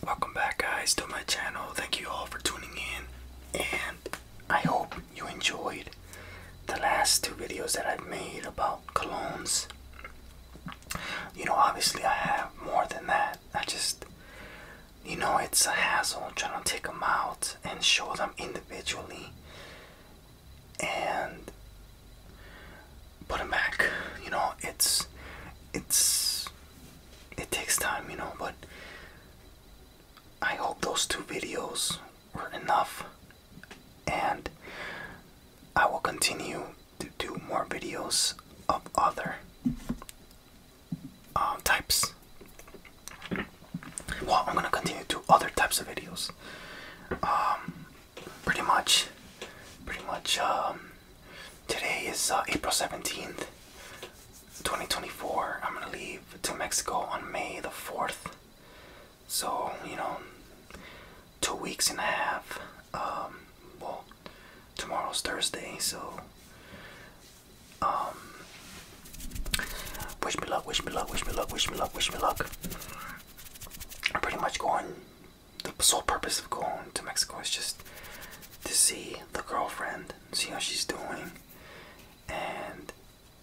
Welcome back guys to my channel. Thank you all for tuning in and I hope you enjoyed the last two videos that i made about colognes. You know obviously I have more than that. I just you know it's a hassle trying to take them out and show them individually and put them back. You know it's it's it takes time, you know, but I hope those two videos were enough. And I will continue to do more videos of other uh, types. Well, I'm gonna continue to other types of videos. Um, pretty much, pretty much, um, Today is April 17th, 2024. I'm gonna leave to Mexico on May the 4th. So, you know, two weeks and a half. well, tomorrow's Thursday, so. wish me luck, wish me luck, wish me luck, wish me luck, wish me luck. I'm pretty much going the sole purpose of going to Mexico is just to see the girlfriend, see how she's doing, and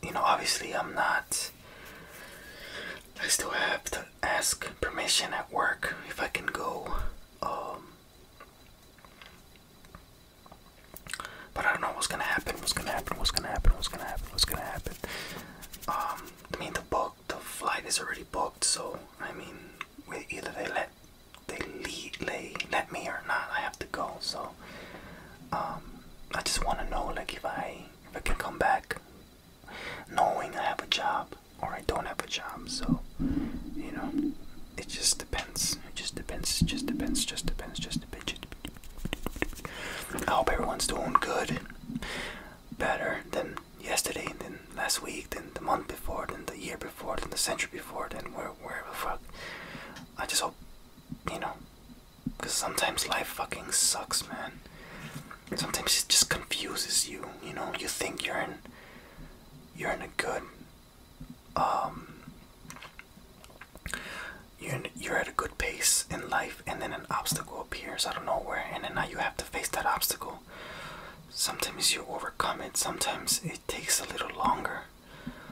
you know, obviously, I'm not. I still have to ask permission at work if I can go. Um, but I don't know what's gonna happen. What's gonna happen? What's gonna happen? What's gonna happen? What's gonna happen? Um, I mean, the book, the flight is already booked, so I mean, either they let they let me or not. I have to go. So um, I just want to know like if I if I can come back knowing I have a job or I don't have a job. So you know, it just depends. It just depends. It Just depends. Just depends. Just depends. I hope everyone's doing good. Better than yesterday, and then last week, then the month before, then the year before, then the century before, then where, where the fuck. I just hope, you know, because sometimes life fucking sucks, man. Sometimes it just confuses you, you know. You think you're in, you're in a good, um, you're you're at a good pace in life, and then an obstacle appears out of nowhere, and then now you have to face that obstacle sometimes you overcome it sometimes it takes a little longer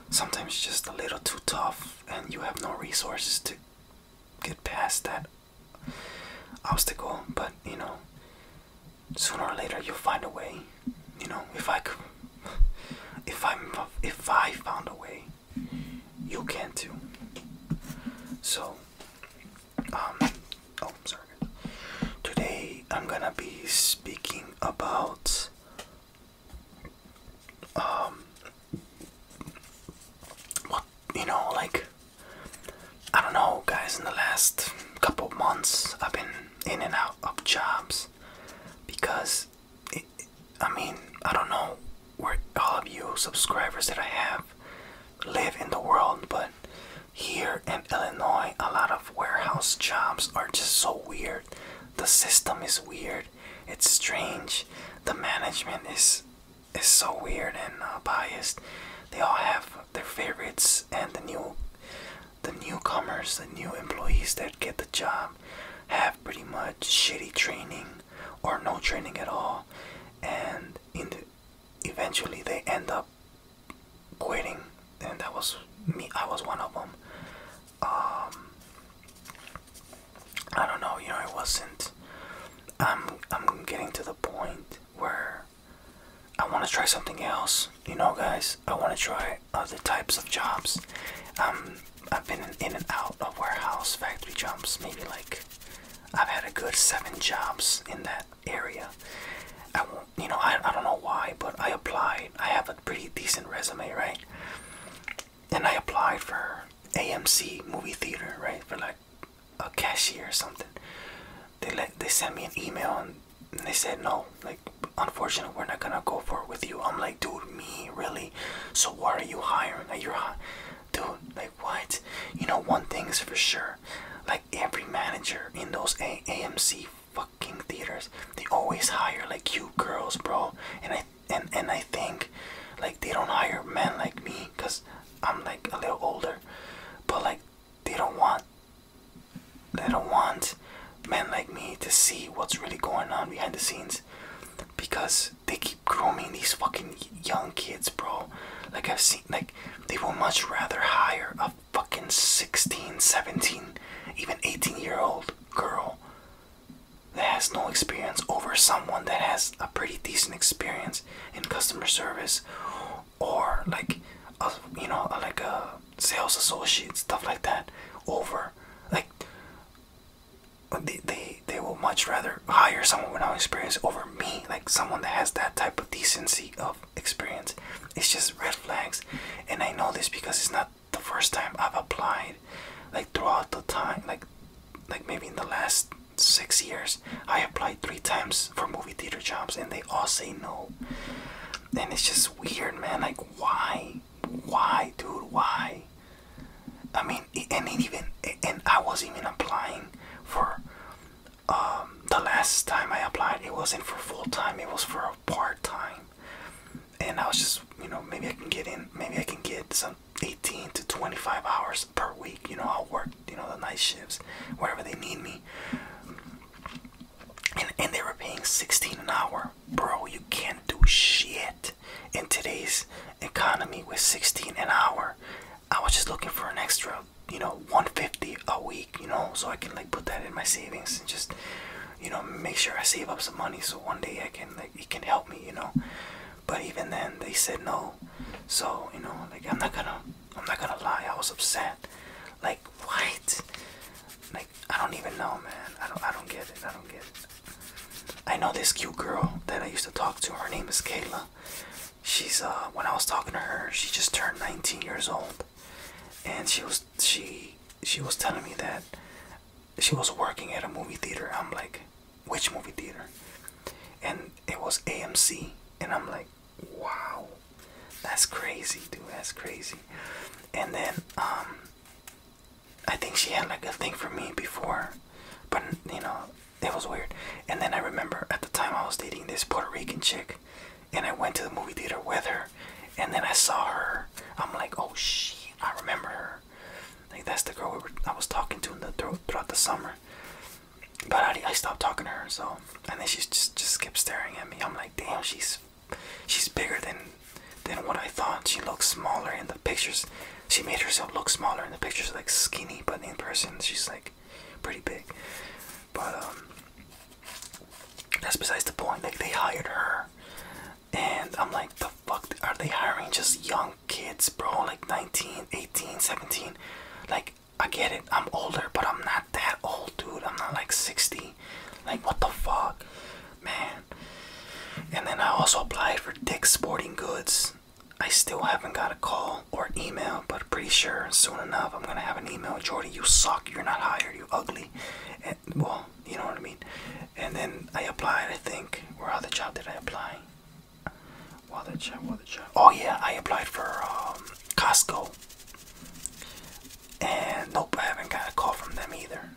sometimes just a little too tough and you have no resources to get past that obstacle but you know sooner or later you'll find a way you know if i could if i if i found a way you can too so um, oh, sorry. Today I'm gonna be speaking about um what you know like I don't know guys in the last couple of months I've been in and out of jobs because I mean I don't know where all of you subscribers that I have live in the world but here in Illinois, a lot of warehouse jobs are just so weird. The system is weird. It's strange. The management is is so weird and uh, biased. They all have their favorites and the new the newcomers, the new employees that get the job have pretty much shitty training or no training at all and in the, eventually they end up quitting, and that was me. I was one of them. Um, I don't know. You know, it wasn't. I'm I'm getting to the point where I want to try something else. You know, guys, I want to try other types of jobs. Um, I've been in and out of warehouse, factory jobs, maybe like I've had a good seven jobs in that area. I won't, you know, I, I don't know why, but I applied. I have a pretty decent resume, right? And I applied for AMC movie theater, right? For like a cashier or something. They let they sent me an email and they said no, like unfortunately we're not gonna go for it with you. I'm like, dude, me really? So what are you hiring? Like you dude, like what? You know, one thing is for sure, like every manager in those a AMC fucking theaters they always hire like cute girls bro and i and and i think like they don't hire men like me because i'm like a little older but like they don't want they don't want men like me to see what's really going on behind the scenes because they keep grooming these fucking young kids bro like i've seen like they will much rather hire a fucking 16, 17, even 18 year old girl that has no experience over someone that has a pretty decent experience in customer service or like a, you know like a sales associate stuff like that over like they, they they will much rather hire someone with no experience over me like someone that has that type of decency of experience. It's just red flags, and I know this because it's not the first time I've applied. Like throughout the time, like like maybe in the last six years, I applied three times for movie theater jobs, and they all say no. And it's just weird, man. Like why, why, dude, why? I mean, and even and I was even applying for um, the last time I applied, it wasn't for full time, it was for a part time. And I was just, you know, maybe I can get in, maybe I can get some 18 to 25 hours per week. You know, I'll work, you know, the night shifts wherever they need me. And, and they were paying 16 an hour. Bro, you can't do shit in today's economy with 16 an hour. I was just looking for an extra you know 150 a week you know so i can like put that in my savings and just you know make sure i save up some money so one day i can like it can help me you know but even then they said no so you know like i'm not gonna i'm not gonna lie i was upset like why? like i don't even know man i don't i don't get it i don't get it i know this cute girl that i used to talk to her name is kayla she's uh when i was talking to her she just turned 19 years old and she was she she was telling me that she was working at a movie theater. I'm like, which movie theater? And it was AMC, and I'm like, wow, that's crazy, dude. That's crazy. And then um, I think she had like a thing for me before, but you know it was weird. And then I remember at the time I was dating this Puerto Rican chick and I went to the movie theater with her, and then I saw her. I'm like, oh shit, I remember her. Like that's the girl I was talking to in the, throughout the summer. But I, I stopped talking to her, so and then she just just kept staring at me. I'm like, damn, she's she's bigger than than what I thought. She looks smaller in the pictures. She made herself look smaller in the pictures, like skinny, but in person she's like pretty big. But um, that's besides the point. Like they hired her, and I'm like, the fuck are they hiring just young kids, bro? Like 19, 18, 17. Like I get it. I'm older, but I'm not that old, dude. I'm not like 60. Like what the fuck, man. And then I also applied for Dick's Sporting Goods. I still haven't got a call or email, but pretty sure soon enough I'm gonna have an email. Jordy, you suck. You're not hired. You're ugly. well, you know what I mean. And then I applied. I think. Where other job did I apply? What other job? What other job? Oh yeah, I applied for um, Costco. And nope, I haven't got a call from them either.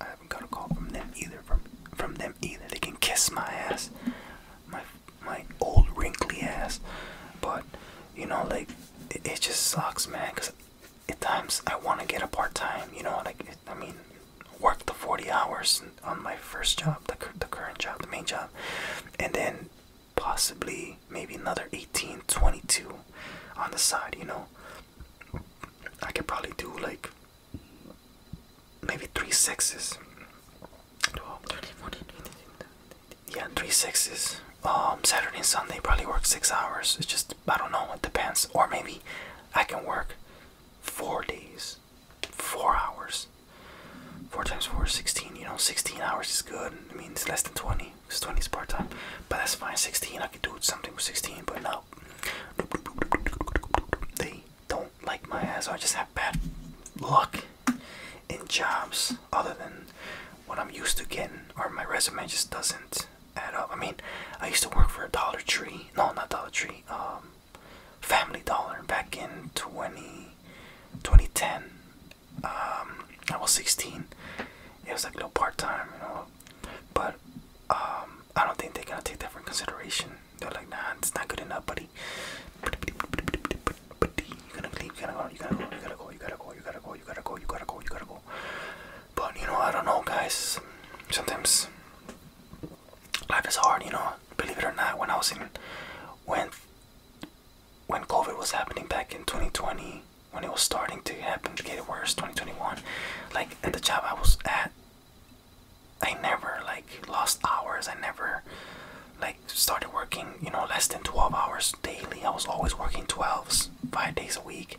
I haven't got a call from them either. From from them either. They can kiss my ass, my my old wrinkly ass. But you know, like it, just sucks, man. Cause at times I want to get a part time. You know, like I mean, work the 40 hours on my first job, the the current job, the main job, and then possibly maybe another 18, 22 on the side. You know, I could probably do like maybe three sixes yeah, three sixes. Um, Saturday and Sunday probably work six hours. It's just I don't know. It depends. Or maybe I can work four days, four hours. Four times four is sixteen. You know, sixteen hours is good. I mean, it's less than twenty. Cause twenty is part time. But that's fine. Sixteen, I could do something with sixteen. But no, they don't like my ass. So I just have bad luck in jobs other than what I'm used to getting or my resume just doesn't add up. I mean, I used to work for a Dollar Tree, no, not Dollar Tree, um, Family Dollar back in 20, 2010. Um, I was 16. It was like a little part time, you know, but um, I don't think they're gonna take that for consideration. They're like, nah, it's not good enough, buddy but but you gotta leave, you gotta go, you gotta go, you gotta go, you gotta go, you gotta go, you gotta go, you gotta go, you gotta go. But you know, I don't know, guys. Sometimes life is hard, you know. Believe it or not, when I was in when when COVID was happening back in 2020, when it was starting to happen to get worse, 2021, like at the job I was at, I never like lost hours. I never like started working you know, less than 12 hours daily. I was always working 12s, five days a week,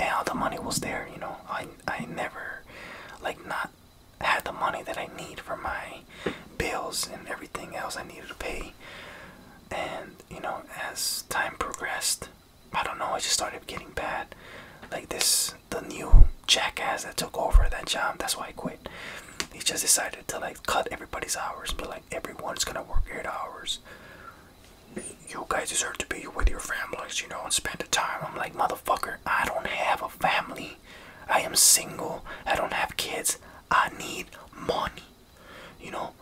and all the money was there. You know, I I never like not had the money that I need for my bills and everything else I needed to pay. And you know, as time progressed, I don't know, I just started getting bad. Like this, the new jackass that took over that job. That's why I quit. He just decided to like cut everybody's hours, but like everyone's gonna work eight hours. You guys deserve to be with your families, you know, and spend the time. I'm like, motherfucker, I don't have a family. I am single. I don't have kids. I need money, you know.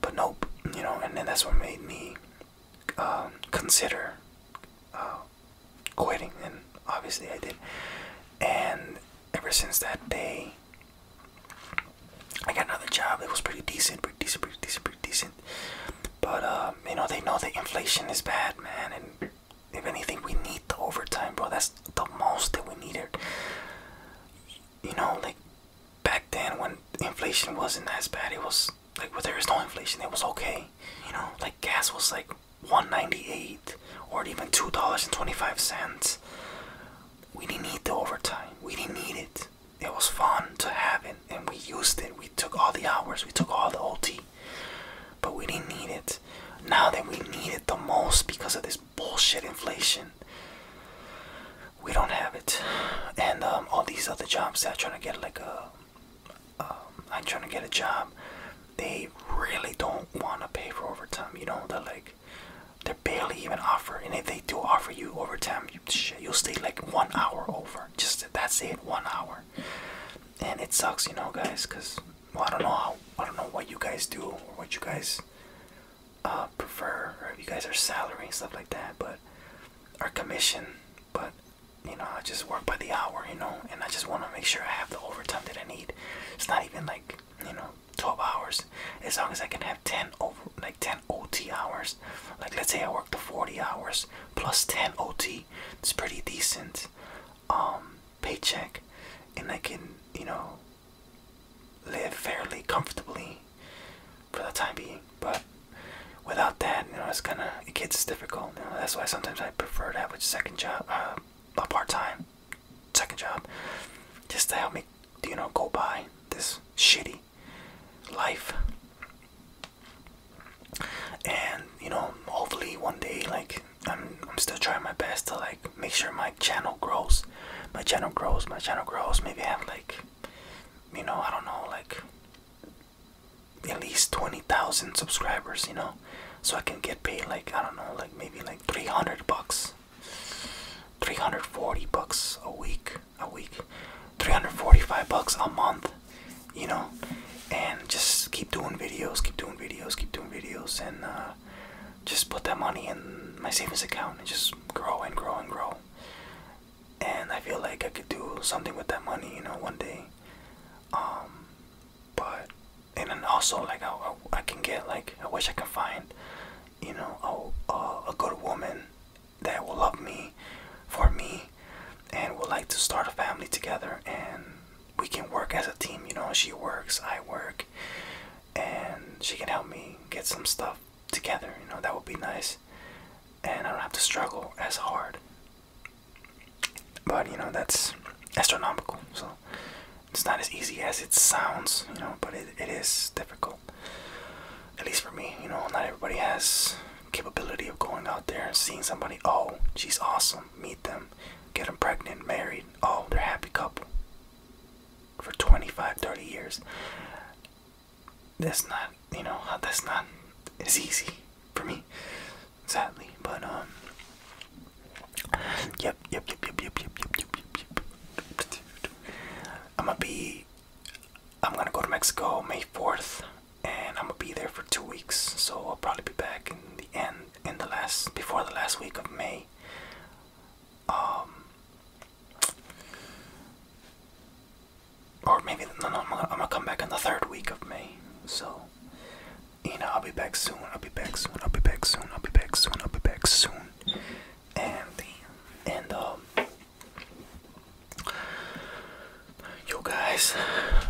But nope, you know, and then that's what made me um, consider uh, quitting, and obviously I did. And ever since that day, I got another job that was pretty decent, pretty decent, pretty decent, pretty decent. But uh, you know, they know that inflation is bad, man. And if anything, we need the overtime, bro. That's the most that we needed. You know, like back then when inflation wasn't as bad, it was like well, there was no inflation, it was okay. You know, like gas was like 198 or even two dollars and 25 cents we didn't need the overtime. We didn't need it. It was fun to have it, and we used it. We took all the hours. We took all the OT, but we didn't need it. Now that we need it the most because of this bullshit inflation, we don't have it. And um, all these other jobs that are trying to get like a, um, I'm trying to get a job. They really don't want to pay for overtime. You know, they're like, like they barely even offer, and if they do offer you overtime, you shit, you'll stay like one hour over. Just that's it, one hour, and it sucks, you know, guys, because I don't know how, I don't know what you guys do or what you guys uh, prefer, or if you guys are salary and stuff like that, but our commission, but you know, I just work by the hour, you know, and I just want to make sure I have the overtime that I need. It's not even like you know 12 hours as long as i can have 10 over like 10 ot hours like let's say i work the 40 hours plus 10 ot it's pretty decent um, paycheck and i can you know live fairly comfortably for the time being but without that you know it's gonna it gets difficult that's why sometimes i prefer to have a second job uh, a part-time second job just to help me like you know go by this shitty life and you know hopefully one day like I'm, I'm still trying my best to like make sure my channel grows my channel grows my channel grows maybe I have like you know I don't know like at least 20,000 subscribers you know so I can get paid like I don't know like maybe like 300 bucks 340 bucks a week a week 345 bucks a month you know and just keep doing videos keep doing videos keep doing videos and uh, just put that money in my savings account and just grow and grow and grow and i feel like i could do something with that money you know one day um but and then also like I, I can get like i wish i could find you know, a, a, good woman that will love me for me and would like to start a family together and we can work as a team you know she works i work and she can help me get some stuff together you know that would be nice and i don't have to struggle as hard but you know that's astronomical so it's not as easy as it sounds you know but it, it is difficult at least for me, you know, not everybody has capability of going out there and seeing somebody. Oh, she's awesome. Meet them, get them pregnant, married. Oh, they're a happy couple for 25, 30 years. That's not, you know, that's not as easy for me, sadly. But um, yep, yep, yep, yep, yep, yep, yep, yep, yep. yep. I'm gonna be. I'm gonna go to Mexico May 4th, and I'm gonna be there for two weeks. So I'll probably be back in the end, in the last, before the last week of May. Um. Or maybe no, no. I'm gonna, I'm gonna come back in the third week of May. So, you know, I'll be back soon. I'll be back soon. I'll be back soon. I'll be back soon. I'll be back soon and and um you guys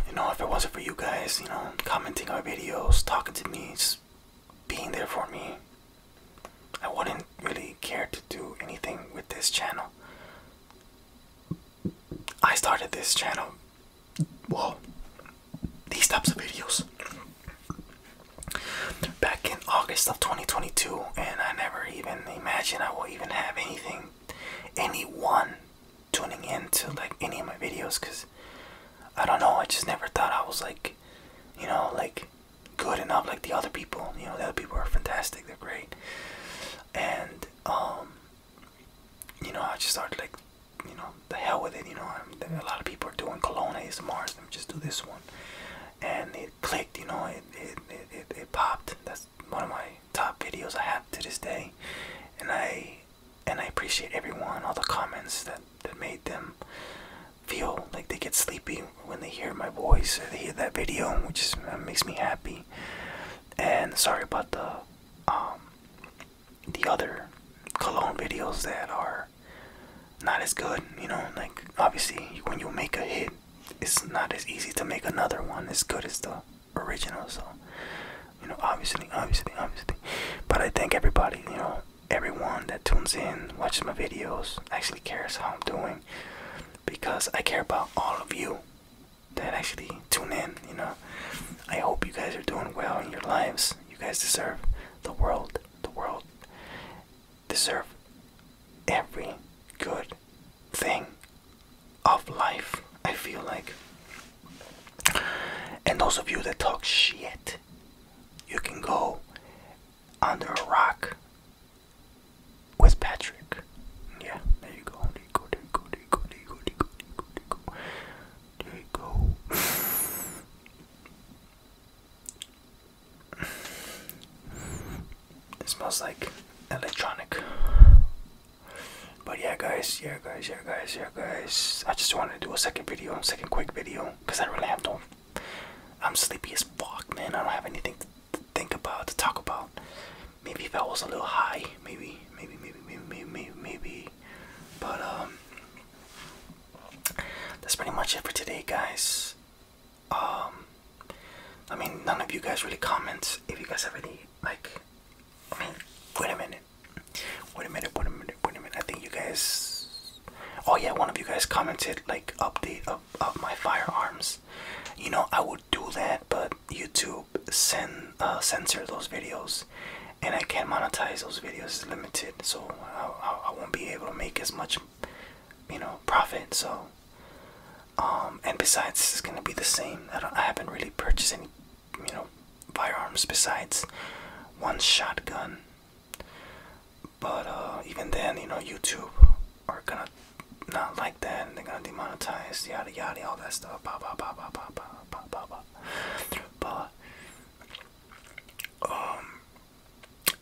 you know if it wasn't for you guys you know commenting our videos talking to me just being there for me i wouldn't really care to do anything with this channel i started this channel well these types of videos back in August of 2022, and I never even imagined I will even have anything, anyone tuning in to like any of my videos because I don't know, I just never thought I was like, you know, like good enough like the other people. You know, the other people are fantastic, they're great, and um, you know, I just started like, you know, the hell with it, you know. a lot of people are doing cologne ASMRs, let me just do this one. And it clicked you know it it, it, it popped that's one of my top videos i have to this day and i and i appreciate everyone all the comments that that made them feel like they get sleepy when they hear my voice or they hear that video which uh, makes me happy and sorry about the um the other cologne videos that are not as good, you know, like obviously when you make a hit, it's not as easy to make another one as good as the original. So, you know, obviously, obviously, obviously. But I think everybody, you know, everyone that tunes in, watches my videos, actually cares how I'm doing because I care about all of you that actually tune in, you know. I hope you guys are doing well in your lives. You guys deserve the world, the world deserve every good thing of life, I feel like. And those of you that talk shit, you can go under a rock with Patrick. Yeah, there you go. There you go. There you go. There you go. There you go. It smells like electronic. But yeah, guys, yeah, guys, yeah, guys, yeah, guys. I just wanted to do a second video, a second quick video, because I really have no. I'm sleepy as fuck, man. I don't have anything to think about, to talk about. Maybe if I was a little high, maybe, maybe, maybe, maybe, maybe. maybe. But, um, that's pretty much it for today, guys. Um, I mean, none of you guys really comment if you guys have any, like, I mean, wait a minute. Wait a minute, wait a minute, wait a minute. I think you guys, oh yeah, one of you guys commented, like, update of, of my firearms. You know, I would do that, but YouTube send, uh, those videos. And I can't monetize those videos, limited. So I, I won't be able to make as much you know, profit. So, um, and besides, it's gonna be the same. I, don't, I haven't really purchased any, you know, firearms besides one shotgun. But uh, even then, you know, YouTube are gonna not like that, and they're gonna demonetize, yada yada, all that stuff. Bah, bah, bah, bah, bah, bah, bah, bah, bah. But um,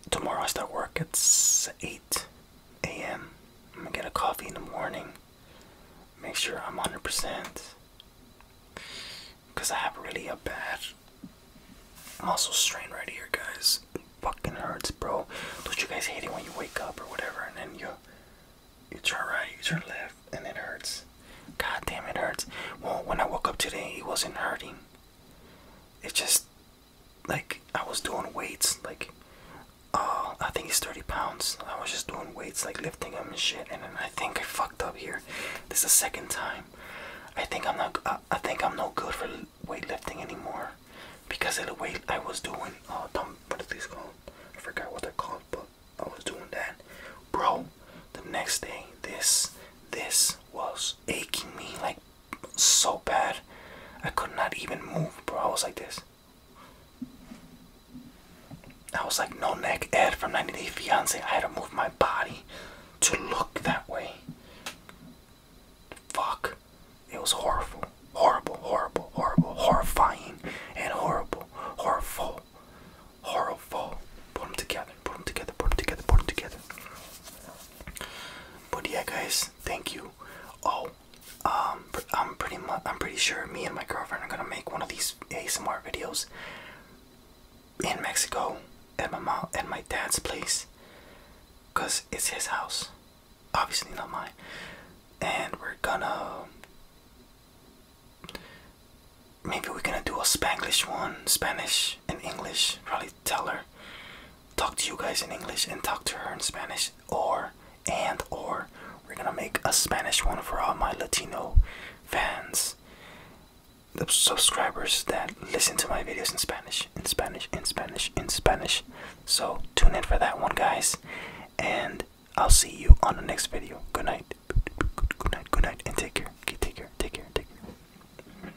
tomorrow I start work at 8 a.m. I'm gonna get a coffee in the morning. Make sure I'm 100%. Because I have really a bad muscle strain right here, guys. fucking hurts, bro. Don't you guys hate it when you wake up or whatever and then you you turn right, you turn left, and it hurts. God damn, it hurts. Well, when I woke up today, it wasn't hurting. It just like I was doing weights, like uh, I think it's 30 pounds. I was just doing weights, like lifting them and shit. And I think I fucked up here. This is the second time. I think I'm not. I, think I'm no good for weightlifting anymore because of the weight I was doing. Oh, dumb, what is this called? I forgot what they're called, but I was doing that, bro. The next day, this this was aching me like so bad. I could not even move, bro. I was like this. I was like no neck Ed from 90 Day Fiance. I had to move my body to look that way. Fuck. It was horrible. Horrible, horrible, horrible, horrifying, and horrible, horrible, horrible. Put them together, put them together, put them together, put them together. But yeah, guys, thank you. Oh, um, I'm pretty I'm pretty sure me and my girlfriend are gonna make one of these ASMR videos in Mexico at my mom at my dad's place, cause it's his house, obviously not mine, and we're gonna maybe we're gonna do a Spanglish one, Spanish and English. Probably tell her talk to you guys in English and talk to her in Spanish or and or we're gonna make a Spanish one for all my Latino fans the subscribers that listen to my videos in Spanish in Spanish in Spanish in Spanish so tune in for that one guys and I'll see you on the next video good night good night good night and take care okay, take care take care take care